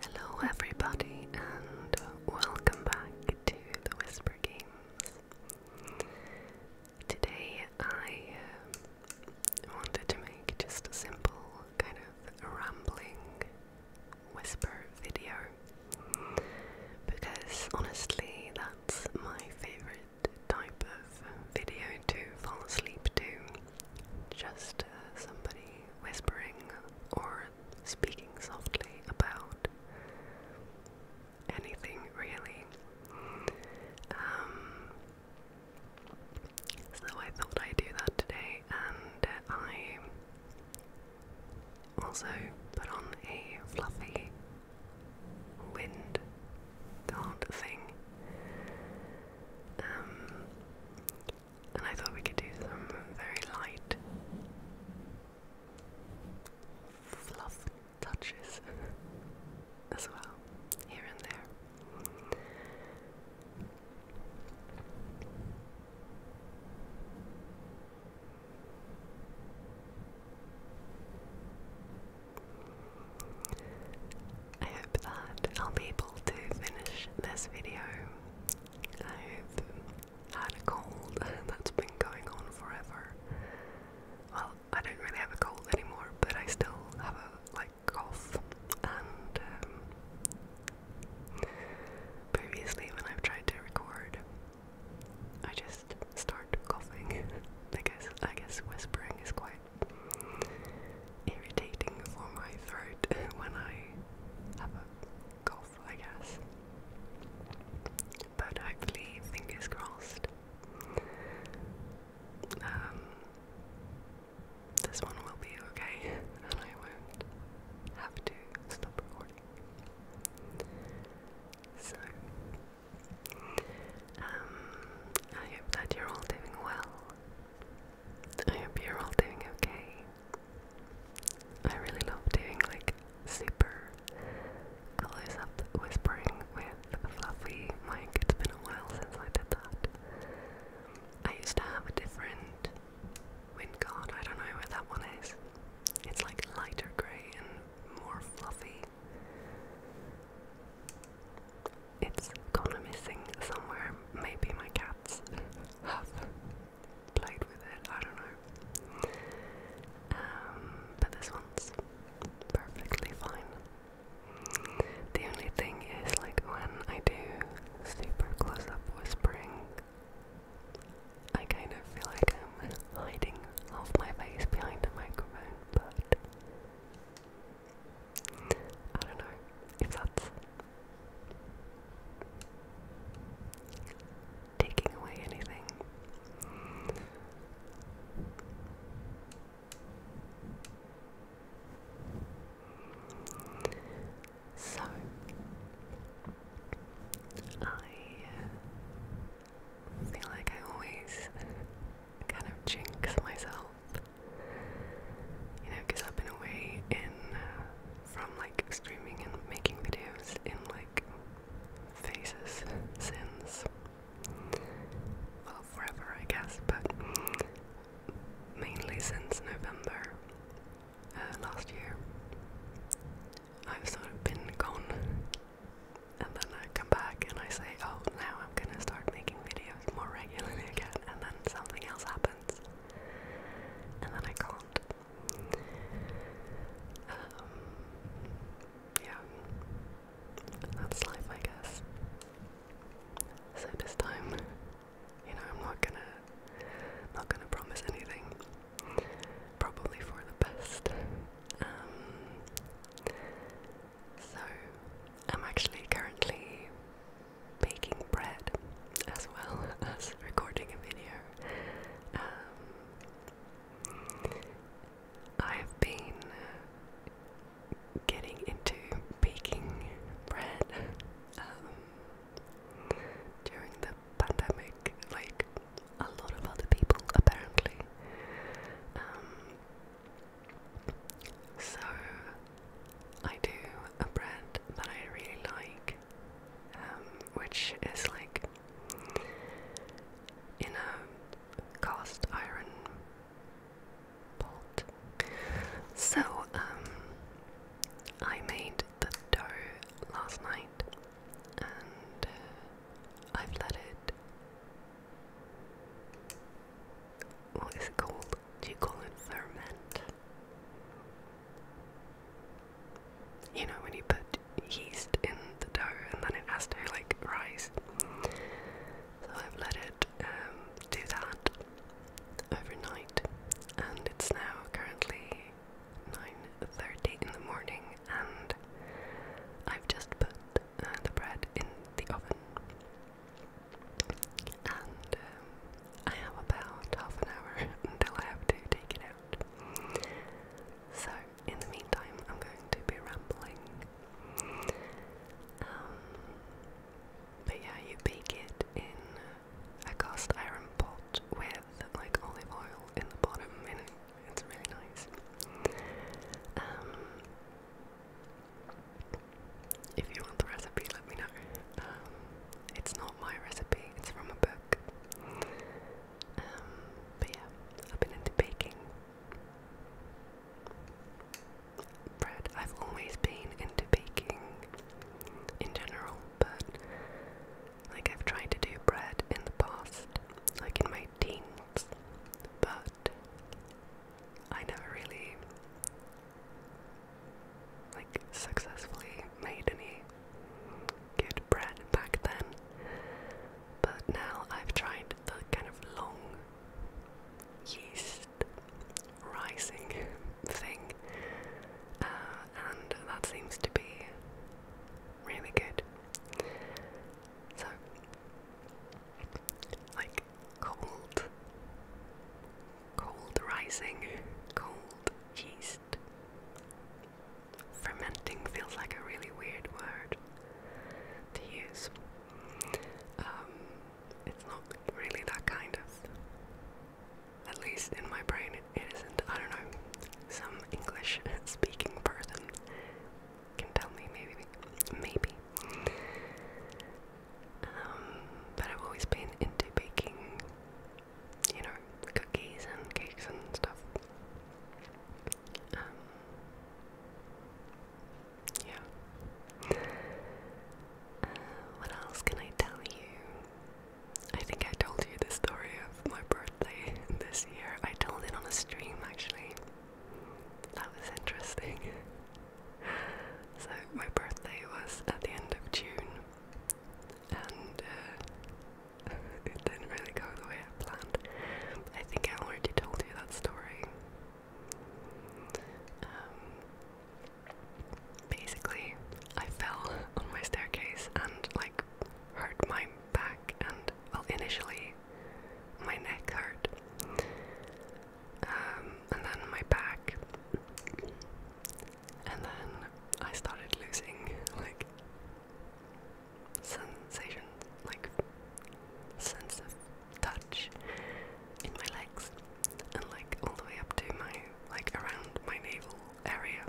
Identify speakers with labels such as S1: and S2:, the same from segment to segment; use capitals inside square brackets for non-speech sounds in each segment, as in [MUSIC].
S1: Hello, everybody, and welcome back to the Whisper Games. Today I um, wanted to make just a simple kind of rambling whisper video because honestly that's my favorite type of video to fall asleep to. Just uh, somebody whispering or speaking softly about anything really. Um, so I thought I'd do that today, and I also put on a fluffy wind card thing. Um, and I thought we could do some very light fluff touches [LAUGHS] as well, here and there. I hope that I'll be able to finish this video. I hope had a cold [LAUGHS] that's been going on forever. Well, I don't really have a cold anymore, but I still have a like golf and um, previously when I've tried to record I just start coughing. [LAUGHS] I guess I guess whispering is quite irritating for my throat [LAUGHS] when I have a cough, I guess. But hopefully, fingers crossed. Um, this one will be okay, and I won't have to stop recording. So, um, I hope that you're all doing well. I hope you're all doing okay. I really love doing like super close up whispering with Fluffy mic. It's been a while since I did that. I used to have a different wind guard. I don't know where that one is. It's like lighter grey and more fluffy. It's gone missing somewhere. Maybe my cats have played with it. I don't know. Um, but this one's perfectly fine. The only thing is, like, when I do super close up whispering, I kind of feel like I'm hiding half my face behind the microphone, but I don't know if that's taking away anything. So I uh, feel like I always kind of jinx myself, you know, because I've been away in uh, from like streaming and making videos in like phases since well, forever, I guess, but mainly since November uh, last year. I've sort of been gone, and then I come back and I say, Oh, now I'm gonna start making videos more regularly [LAUGHS] again, and then something else happens, and then I can't. Um, yeah, that's life, I guess. So this time, you know, I'm not gonna, not gonna promise anything. Probably for the best. Um, so I'm actually currently baking bread as well [LAUGHS] as recording a video. Um, I've been getting into baking bread um, during the pandemic, like a lot of other people apparently. Um, so I do a bread that I really like, um, which is like in a cast iron so, um, I made the dough last night and uh, I've let it. What is it called? Do you call it ferment? You know, when you put yeast in the dough and then it has to like rise. So I've let it um, do that overnight, and it's now currently 9.30 in the morning, and I've just put uh, the bread in the oven. And um, I have about half an hour [LAUGHS] until I have to take it out. So, in the meantime, I'm going to be rambling um, but yeah, you bake it in a cast iron pot with like olive oil in the bottom, and it's really nice. Um, if you want the recipe, let me know. Um, it's not my recipe, it's from a book. but yeah, I've been into baking bread. I've always been into baking in general, but like I've tried to do bread in the past, like in my teens, but I never really like successfully made any good bread back then. But now I've tried the kind of long yeast rising thing, uh, and that seems to be really good. So, like cold, cold rising, cold yeast. Fermenting feels like a really weird word to use. Um, it's not really that kind of. At least in my brain, it isn't. I don't know. Some English [LAUGHS] speaking person can tell me, maybe. Maybe. Um, but I've always been into baking, you know, cookies and cakes and stuff. Um, yeah. Uh, what else can I tell you? I think I told you the story of my birthday [LAUGHS] this year. I told it on a stream actually. That was interesting. [LAUGHS] So, my birthday was at the end of June, and uh, [LAUGHS] it didn't really go the way I planned. I think I already told you that story um, basically, I fell [LAUGHS] on my staircase and like hurt my back, and well, initially my neck hurt, um, and then my back, and then I started losing like sensations, like senses touch in my legs and like all the way up to my like around my navel area,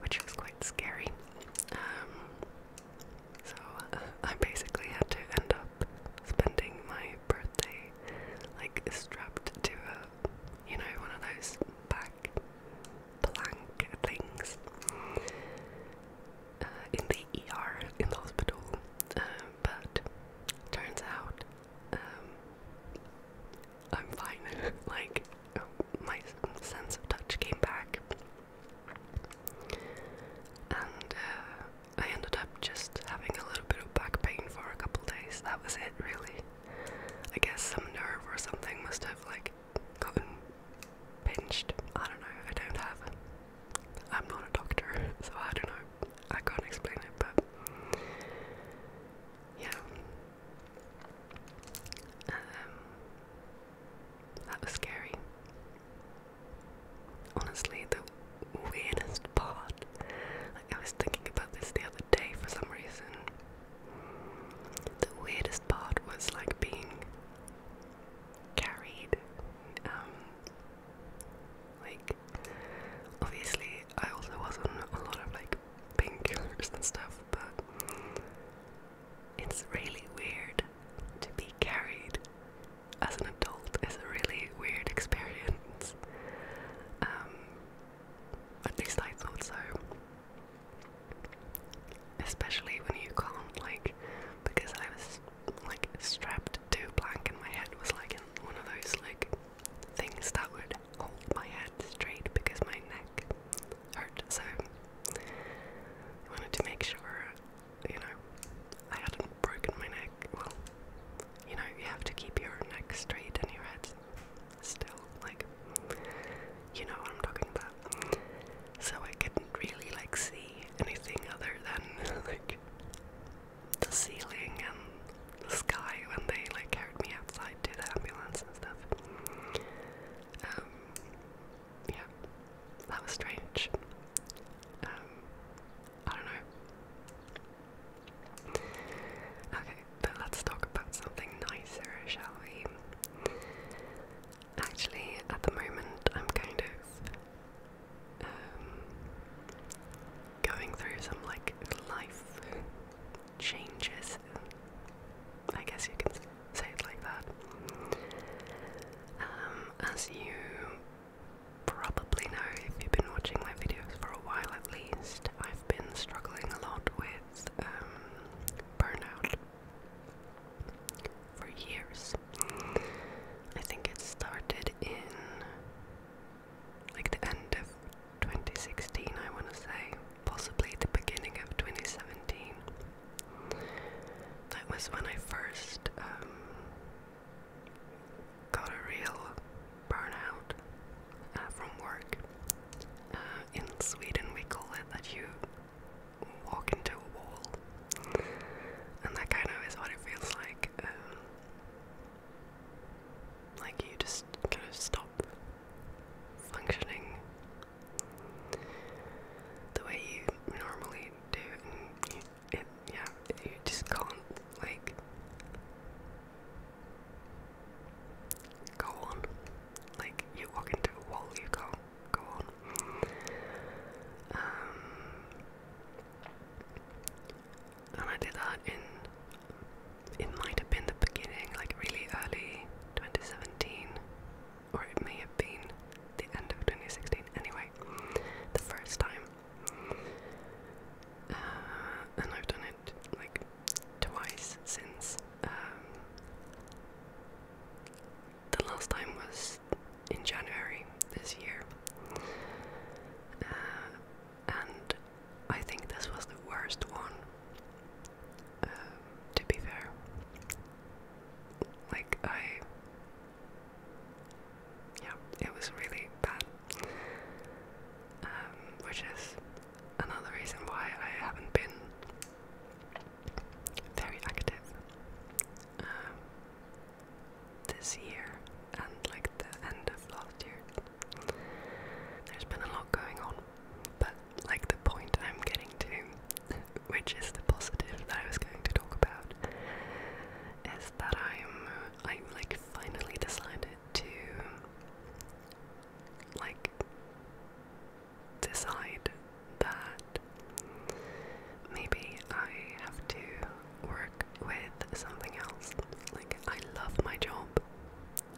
S1: which was quite scary. Um, so uh, [LAUGHS] I basically had to end up spending my birthday like strapped to a, you know, one of those back plank things. Uh, in the ER in hospital, um, but turns out um, I'm fine. [LAUGHS] like oh, my sense of touch came back, and uh, I ended up just having a little bit of back pain for a couple days. That was it, really. I guess some nerve or something must have like gotten pinched. I don't know. I don't have I'm not a doctor, [LAUGHS] so I don't know. I can't explain it, but yeah. Um, that was scary. Honestly, the weirdest part. Like I was thinking about this the other day for some reason. The weirdest part was like being carried um, like, obviously, I also was on a lot of like painkillers and stuff, but it's really weird to be carried as an adult. It's a really weird experience. Um, at least I thought so. Especially when you can't, like, because I was like strapped to a plank and my head was like in one of those like things that would hold my head straight because my neck hurt. So I wanted to make sure, you know, I hadn't broken my neck. Well, you know, you have to keep your neck straight and your head still, like, you know what I'm talking about. So I couldn't really like see anything other than [LAUGHS] like the ceiling and the sky when they like carried me outside to the ambulance and stuff. Um, yeah, that was strange. Um, I don't know. Okay, but let's talk about something nicer, shall we? Actually, at the moment, I'm kind of um, going through some like life changes. I guess you can say it like that. Um, as you probably know if you've been watching my videos for a while at least, I've been struggling a lot with um, burnout for years. I think it started in like the end of 2016, I want to say, possibly the beginning of 2017. That was when I first um, got a real burnout uh, from work. Uh, in Sweden, we call it that you walk into a wall and that kind of is what it feels like. Um, like you just kind of stop functioning the way you normally do, yeah, you just can't like go on. Like you walk into a wall, you can't go on. Um, and I did that in it might have been the beginning, like really early 2017, or it may have been the end of 2016. Anyway, the first time, uh, and I've done it like twice since. Um, the last time was in January this year. Uh, and I think this was the worst one, um, to be fair. Like, I. Yeah, it was really bad. Um, which is another reason why I haven't been very active. Um, this year and like the end of last year. There's been a lot going on, but like the point I'm getting to, which is the positive that I was going to talk about, is that I'm I like finally decided to like decide that maybe I have to work with something else. Like, I love my job.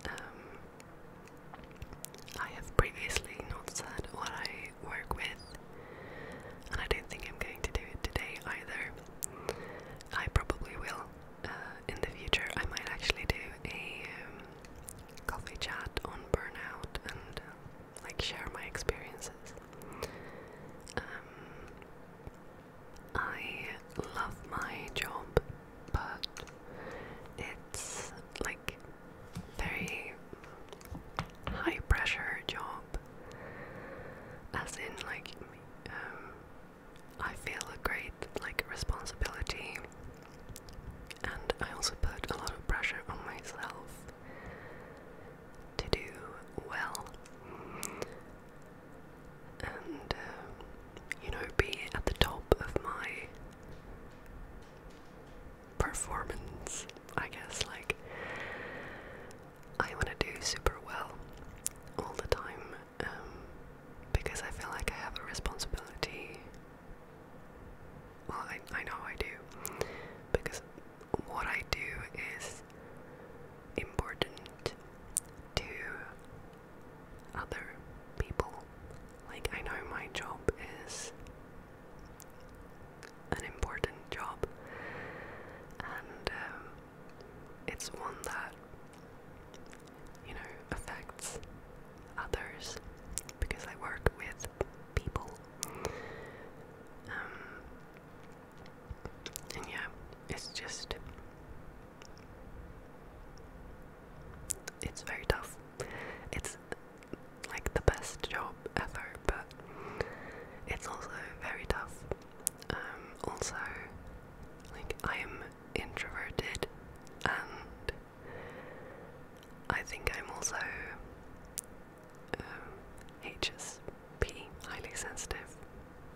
S1: Um, I have previously not said what I work with, and I don't think I'm going to do it today either. I probably will uh, in the future. I might actually do a um, coffee chat on burnout and like share my experiences. Um, I love my job, but it's like very high pressure job. As in, like, um, I feel a great like responsibility, and I also put a lot of pressure on myself to do well and, um, you know, be at the top of my performance, I guess. Like, I want to do super well all the time um, because I feel like I have a responsibility. Well, I, I know I do because what I do is important to other people. Like, I know my job is an important job, and um, it's one that, you know, affects others because I work with people. Um, and yeah, it's just. It's very tough. It's like the best job ever, but it's also very tough. Um, also, like, I'm introverted and I think I'm also um, HSP, highly sensitive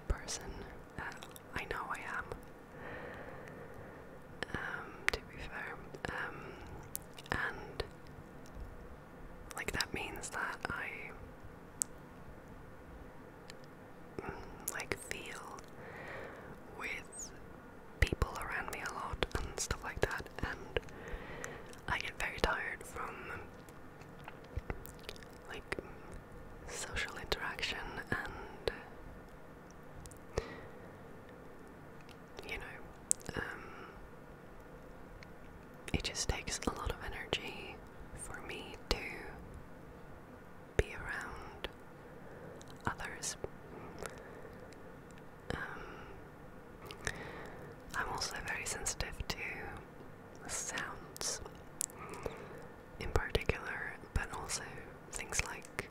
S1: person. Uh, I know I am. Um, to be fair, um, and like that means that I mm, like feel with people around me a lot and stuff like that, and I get very tired from like social interaction and you know, um, it just takes a lot of energy for me to be around others. Um, I'm also very sensitive to sounds in particular, but also things like,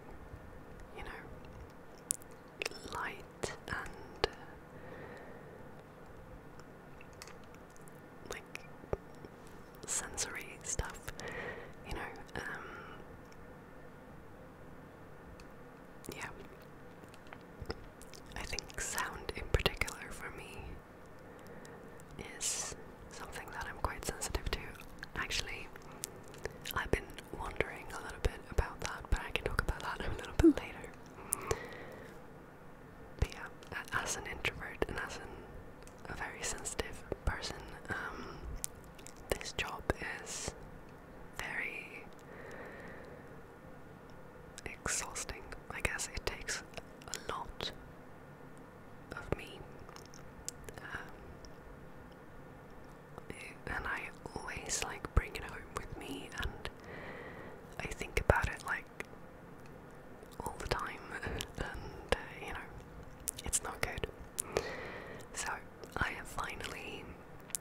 S1: you know, light and like sensory stuff, you know, um, yeah. I think sound in particular for me is something that I'm quite sensitive to. Actually, I've been wondering a little bit about that, but I can talk about that [LAUGHS] a little bit later. But yeah, as an introvert and as a very sensitive person, um, this job is very exhausting. I guess it takes a lot of me. Um, and I always like bring it home with me, and I think about it like all the time, [LAUGHS] and uh, you know, it's not good. So I have finally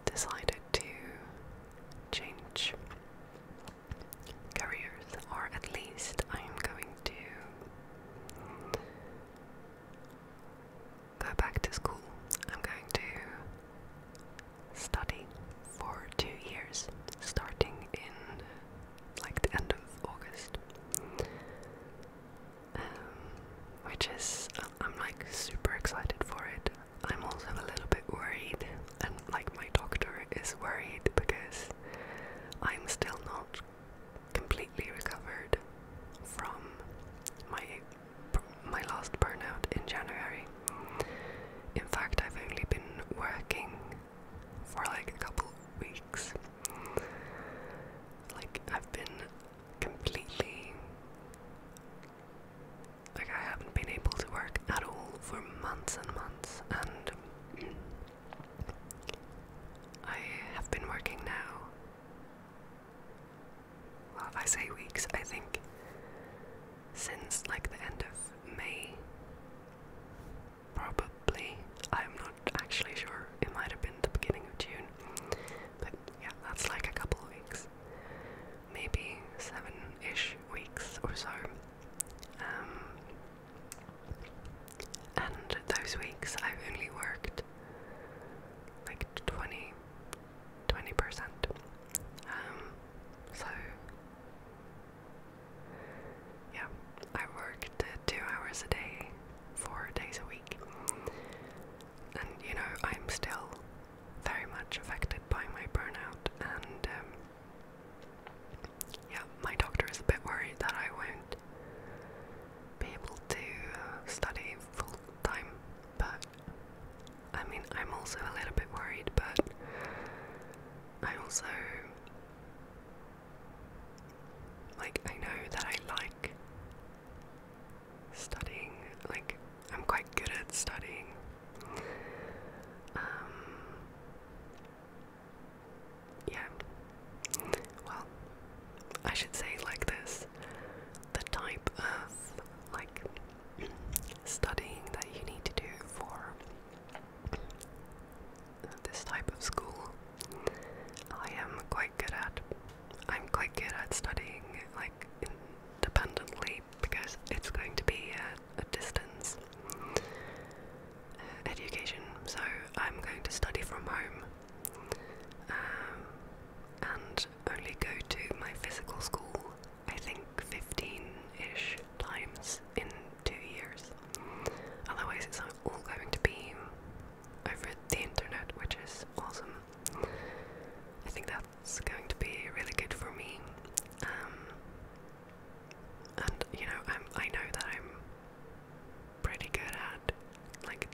S1: decided to change careers, or at least I am going to go back to school. I'm going to study for two years, starting in like the end of August. Um, which is, I'm like super excited for it. I'm also a little bit worried, and like my doctor is worried because I'm still not completely recovered from my my last burnout in January. In fact, I've only been working for like a couple weeks. Like I've been completely like I haven't been able to work at all for months and months, and [CLEARS THROAT] I have been working now. Well, I say weeks, I think since like the end of May. Probably. I'm not actually sure. It might have been the beginning of June. But yeah, that's like a couple of weeks. Maybe seven ish weeks or so. Um, and those weeks I've only worked like 20, percent um, so, yeah, I worked two hours a day, four days a week. And you know, I'm still very much affected by my burnout and um, yeah, my doctor is a bit worried that I won't be able to uh, study full time, but I mean, I'm also a little bit worried, but I also. Like, I know that I like studying, like, I'm quite good at studying, um, yeah. Well, I should say like this: the type of like studying that you need to do for this type of school, I am quite good at. I'm quite good at studying like independently because it's going to be a distance uh, education, so I'm going to study from home um, and only go to my physical school, I think 15 ish times in two years. Otherwise, it's all going to be over the internet, which is awesome. I think that it's going to be really good for me. Um, and you know, I'm, I know that I'm pretty good at like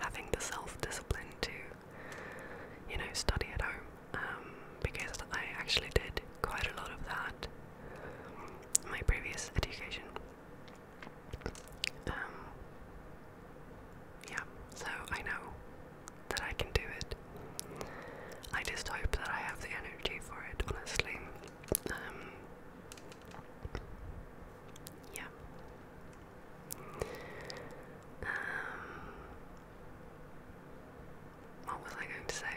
S1: having the self-discipline to, you know, study at home um, because I actually did quite a lot of that in my previous education. Um, yeah, so I know that I can do it. I just hope that I have the energy for it, honestly. Um, yeah. Um, what was I going to say?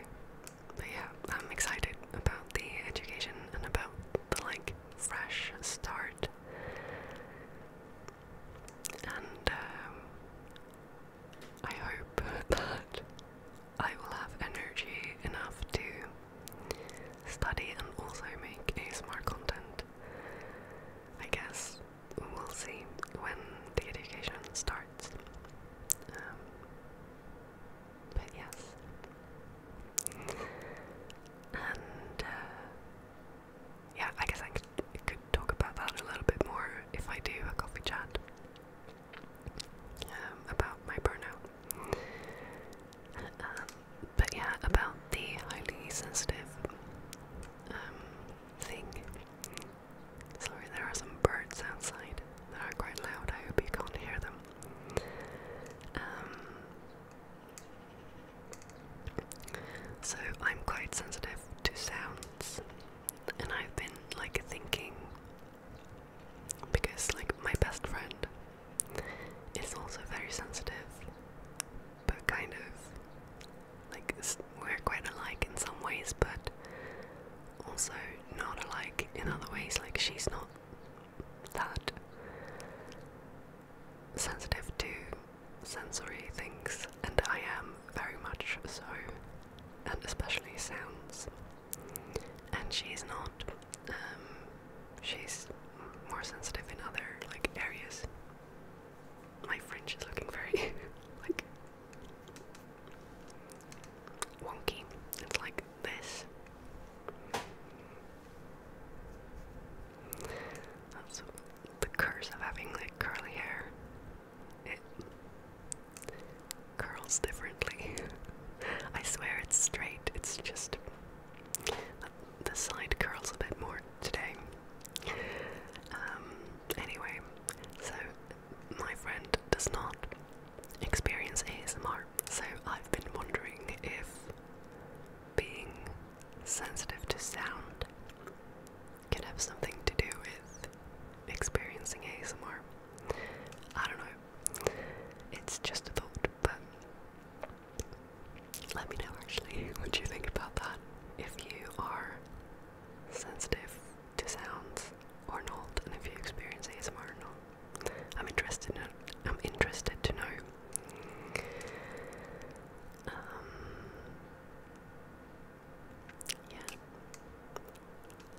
S1: But yeah, I'm excited about the education and about the like fresh start. And um, I hope that I will have energy enough to study and also make a smart content. I guess we'll see when the education starts. Um, but yes. And uh, yeah, I guess I could talk about that a little bit more if I do a coffee chat um, about my burnout. Uh, but yeah, about the highly sensitive um, thing. Sorry, there are some birds outside that are quite loud. I hope you can't hear them. Um, so I'm quite sensitive to sounds and I've been like thinking because like my best friend is also very sensitive, but kind of like we're quite alike in some ways, but also not alike in other ways. Like she's not that sensitive to sensory things, and I am very much so and especially sounds. And she's not. Um, she's more sensitive in other like areas. My French is looking very [LAUGHS] like wonky. It's like this. That's the curse of having like curly hair it curls differently. [LAUGHS] I swear it's straight, it's just uh, the side curls a bit more today. Um, anyway, so my friend does not experience ASMR, so I've been wondering if being sensitive to sound can have something to do with experiencing ASMR. I don't know. It's just a thought, but let me know actually [LAUGHS] what you think about that. If you are sensitive to sounds or not, and if you experience ASMR or not, I'm interested in. I'm interested to know. Um, yeah.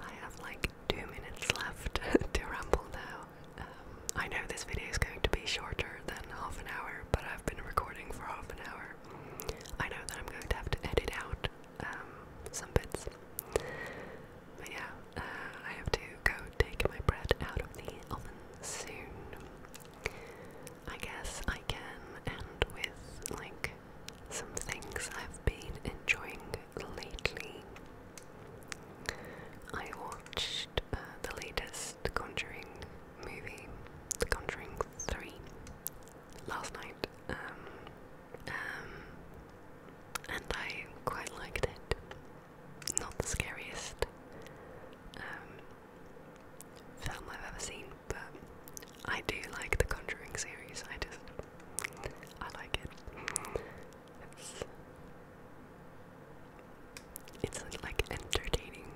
S1: I have like two minutes left [LAUGHS] to ramble now. Um, I know this video is going to be shorter than half an hour, but I've been recording for half an hour. I know that I'm going to have to edit out um, some bits. But yeah, uh, I have to go take my bread out of the oven soon. I guess I can end with like some things I've been enjoying lately. I watched uh, the latest Conjuring movie, The Conjuring 3, last night, um, um, and I quite liked it. Not the scariest um, film I've ever seen, but I do like the Conjuring series. I just, I like it. It's, it's like entertaining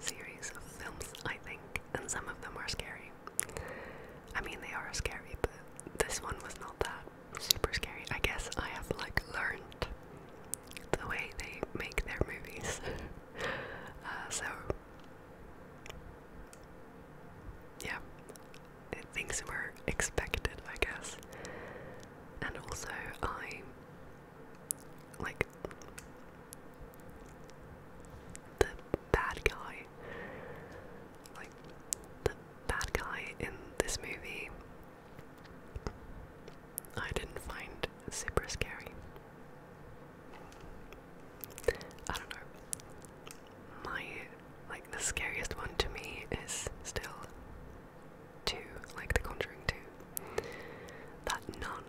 S1: series of films, I think, and some of them are scary. I mean, they are scary, but this one was not that super scary. I guess I have like learned the way they make their movies. [LAUGHS] Uh, so yeah, things were expected, I guess. And also, I like the bad guy, like the bad guy in this movie. I didn't find super scary. I don't know. My like the scariest one to me is still two, like the Conjuring Two. That nun.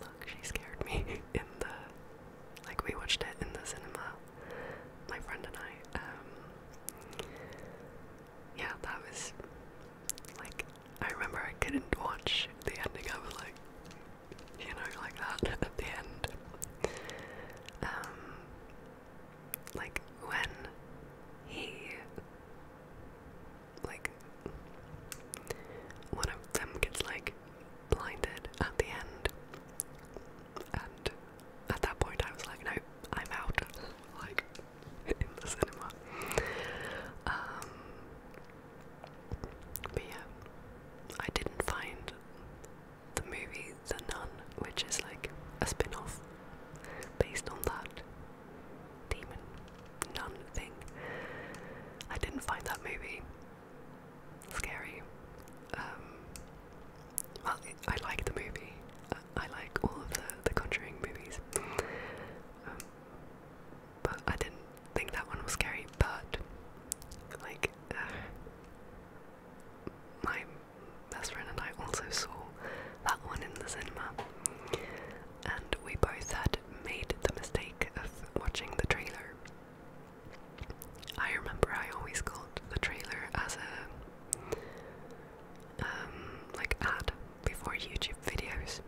S1: Look, she scared me [LAUGHS] in the like we watched it in the cinema, my friend and I. Um, yeah, that was like I remember I couldn't watch the ending. I was like, you know, like that [LAUGHS] at the end. Um, like when he, like, one of them gets like blinded at the end, and at that point I was like, no, I'm out. [LAUGHS] like, in the cinema. Um, but yeah, I didn't find the movie The Nun, which is like a spin off based on that demon nun thing. I didn't find that movie scary. Um, well, I like the movie. I like all of the, the Conjuring movies. Um, but I didn't think that one was scary, but like uh, my best friend and I also saw that one in the cinema, and we both had made the mistake of watching the trailer. I remember I always called the trailer as a um, like ad before YouTube videos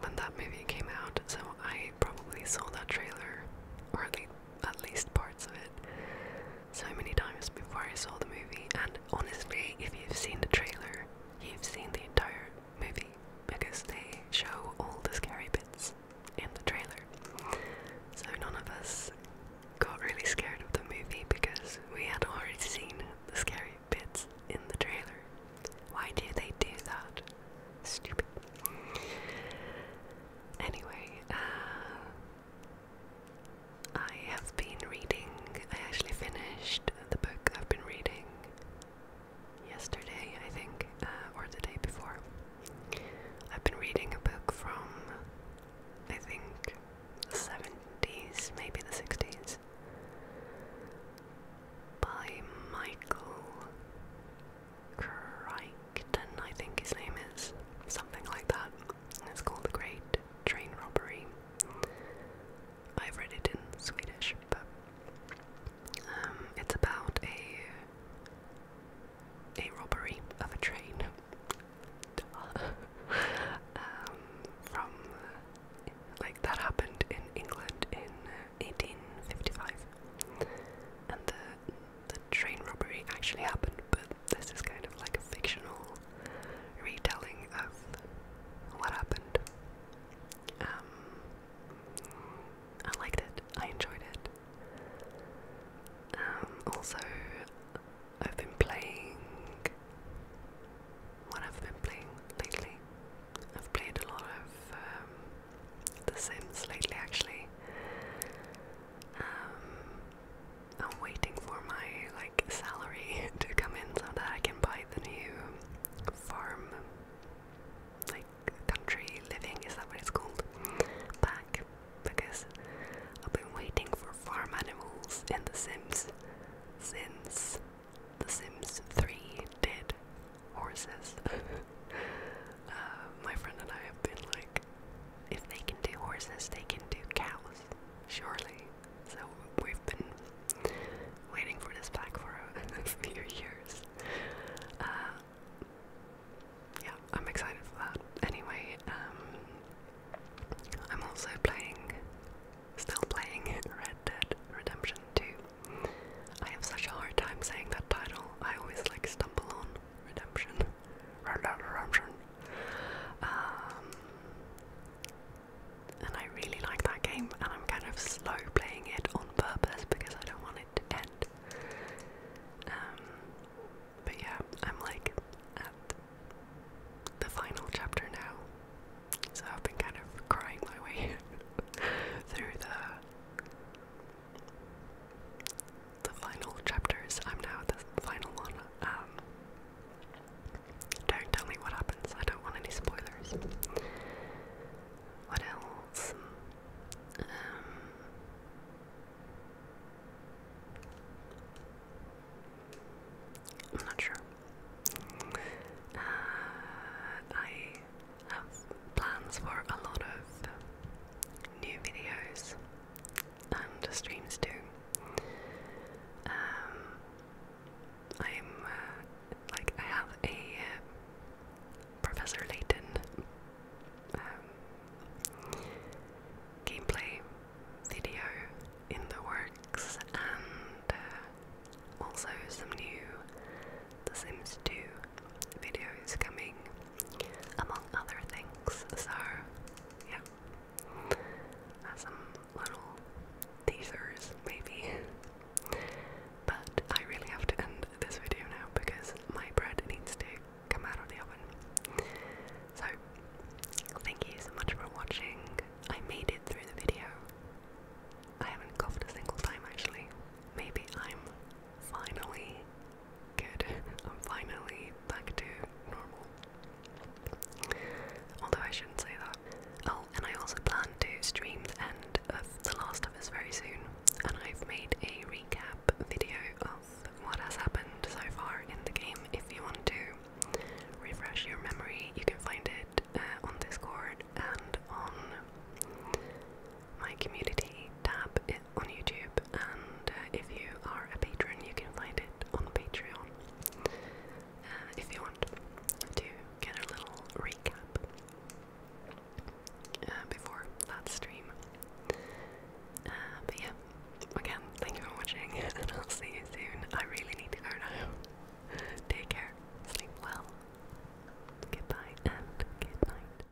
S1: when that movie came out, so I probably saw that trailer, or at least, parts of it, so many times before I saw the movie. And honestly, if you've seen the trailer, you've seen the entire movie because they show all the scary bits in the trailer. So none of us got really scared of the movie because we had already seen the scary bits in the trailer. Why do they do that? Stupid. Anyway, uh, I have been reading, I actually finished the book I've been reading yesterday, I think, uh, or the day before. I've been reading a book from, I think, the 70s, maybe the 60s by Michael Crichton, I think his name is, something like that. It's called The Great Train Robbery. I've read it in Swedish, but um, it's about a a robbery of a train [LAUGHS] um, from like that happened in England in 1855, uh, and the train robbery actually happened. But this is kind of like a fictional retelling of what happened. Um, I liked it. I enjoyed it. Um, also, I've been playing what I've been playing lately. I've played a lot of um, The Sims lately, actually. Um, I'm waiting for my like salary [LAUGHS] to come in so that I can buy the new farm, like country living. Is that what it's called? Pack, because I've been waiting for farm animals in The Sims since the Sims 3 did horses. [LAUGHS] Uh, my friend and I have been like, if they can do horses, they can do cows, surely. So we've been waiting for this pack for [LAUGHS] a few years. Uh, yeah, I'm excited for that. Anyway, um, I'm also playing still playing Red Dead Redemption 2. I have such a hard time saying that title. I always like stumble on Redemption. Red Redemption. Um, and I really like that game, and I'm kind of slow playing it on purpose because I don't want it to end. Um, but yeah, I'm like at the final chapter now. So I've been kind of crying my way [LAUGHS] through the the final chapters. I'm now at the final one. Um, don't tell me what happens. I don't want any spoilers. What else? Um, I'm not sure. Uh, I have plans for a lot of new videos and streams too. Um, I'm uh, like I have a uh, Professor Layton um, gameplay video in the works, and uh, also some new The Sims 2 videos coming, among other things. So, yeah, uh, some little teasers maybe. But I really have to end this video now because my bread needs to come out of the oven. So, thank you so much for watching. I made it through the video. I haven't coughed a single time actually. Maybe I'm finally good. [LAUGHS] I'm finally back to normal. Although I shouldn't say that. Oh, and I also plan to stream the end of The Last of very soon. And I've made a recap video of what has happened so far in the game. If you want to refresh your memory, you can find it uh, on Discord and on my community tab eh, on YouTube. And uh, if you are a patron, you can find it on Patreon uh, if you want to get a little recap before that stream. but yeah, again, thank you for watching, [LAUGHS] I'll see you soon. I really need to go now. Take care, sleep well. Goodbye and good night.